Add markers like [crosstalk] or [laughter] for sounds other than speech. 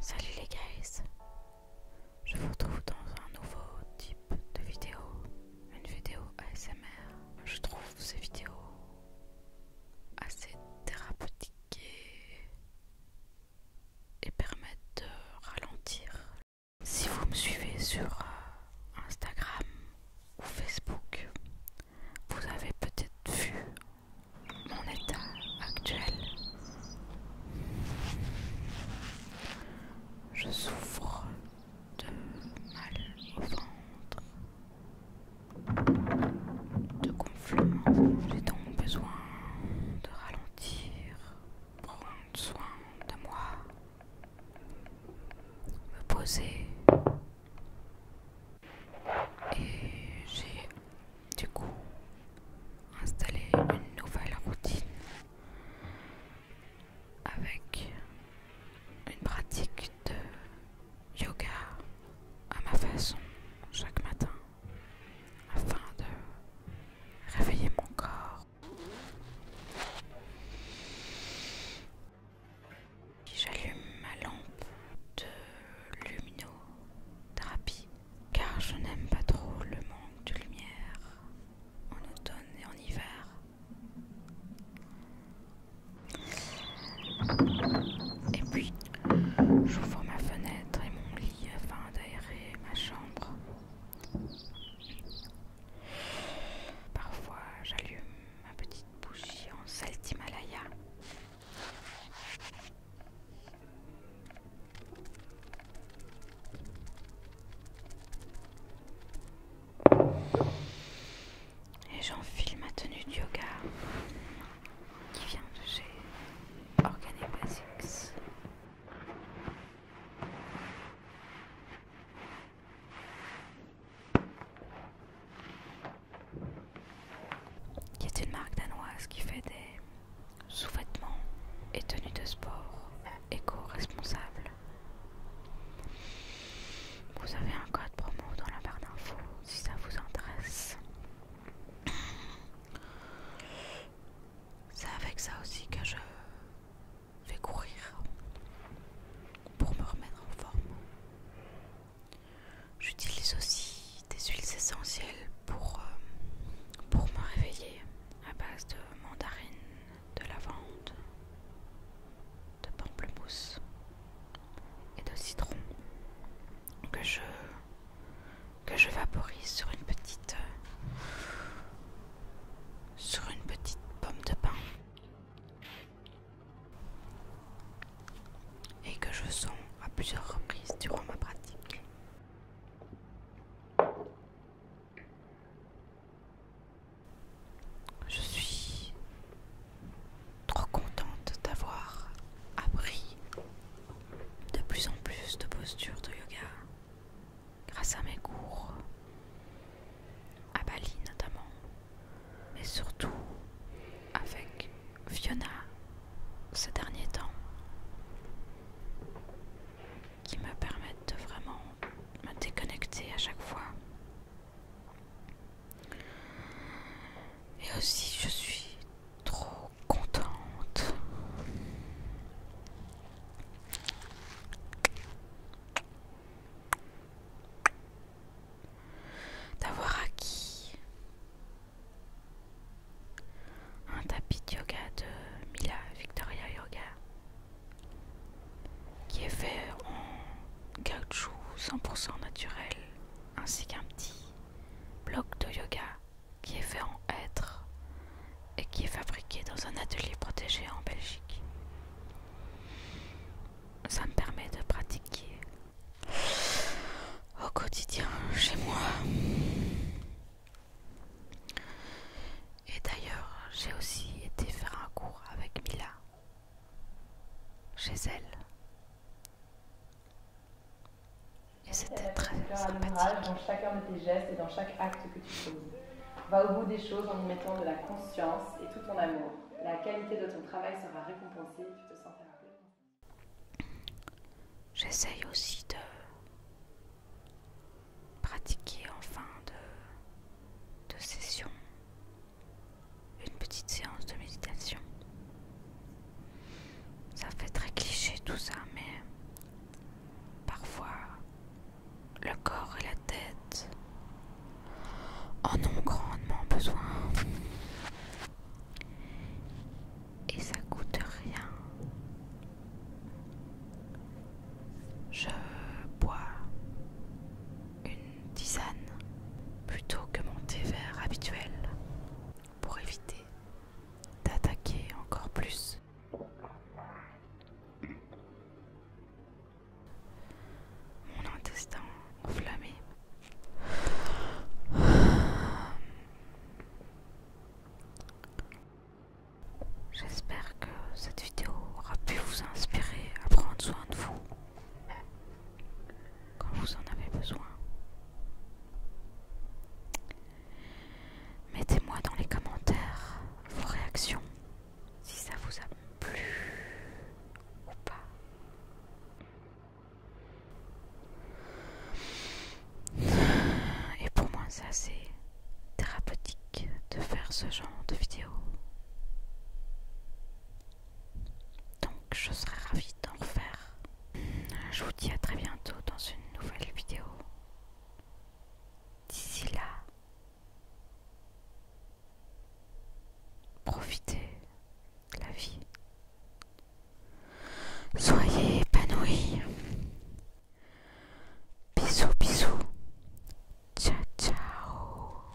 Salut les guys Je vous retrouve dans un nouveau type de vidéo, une vidéo ASMR. Je trouve ces vidéos assez thérapeutiques et permettent de ralentir. Si vous me suivez sur euh, Instagram ou Facebook, vous avez peut-être vu mon état actuel. Je souffre de mal au ventre, de gonflement. J'ai donc besoin de ralentir, prendre soin de moi, me poser. Et j'ai du coup installer une nouvelle routine avec une pratique de yoga à ma façon chaque matin afin de réveiller mon corps. J'allume ma lampe de luminothérapie car je n'aime pas trop le manque de lumière en automne et en hiver. Et puis, j'ouvre ma fenêtre et mon lit afin d'aérer ma chambre. Parfois, j'allume ma petite bougie en saltimalaya. Et j'enfile ma tenue de yoga qui vient de chez Organic Basics qui est une marque danoise qui fait des sous-vêtements et tenues de sport éco-responsables. Vous avez un code promo dans la barre d'infos si ça vous intéresse. C'est avec ça aussi que je vais courir pour me remettre en forme. J'utilise aussi des huiles essentielles pour, euh, pour me réveiller à base de mandarine, de lavande, de pamplemousse et de citron que je, que je vaporise sur une petite sur une petite pomme de pain et que je sens à plusieurs reprises durant ma pratique. Je suis trop contente d'avoir appris de plus en plus de postures de yoga grâce à mes cours, à Bali notamment, mais surtout avec Fiona ces derniers temps qui me permettent de vraiment me déconnecter à chaque fois. Et aussi je suis trop contente d'avoir acquis un tapis de yoga de Mila Victoria Yoga qui est fait en caoutchouc 100% naturel ainsi qu'un petit bloc de yoga qui est fait en hêtre et qui est fabriqué dans un atelier protégé en Belgique. Ça me permet de pratiquer au quotidien chez moi. Et d'ailleurs, j'ai aussi été faire un cours avec Mila chez elle. Et c'était très sympathique. Dans chacun de tes gestes et dans chaque acte que tu poses. Va au bout des choses en y mettant de la conscience et tout ton amour. La qualité de ton travail sera récompensée, tu te sentiras J'essaye aussi de pratiquer en fin de, session une petite séance de méditation. Ça fait très cliché tout ça, mais parfois le corps et la tête en ont grandement besoin et ça coûte rien. Je bois une tisane plutôt que mon thé vert habituel pour éviter d'attaquer encore plus. Mon intestin enflammé [sighs] J'espère que cette vidéo aura pu vous inspirer à prendre soin de vous quand vous en avez besoin. Mettez-moi dans les commentaires vos réactions, si ça vous a plu ou pas. Et pour moi, c'est assez thérapeutique de faire ce genre de vidéo. Donc, je serai ravie d'en refaire. Je vous dis à très bientôt dans une nouvelle vidéo. D'ici là, profitez de la vie, Soyez épanouis. Bisous, bisous. Ciao, ciao.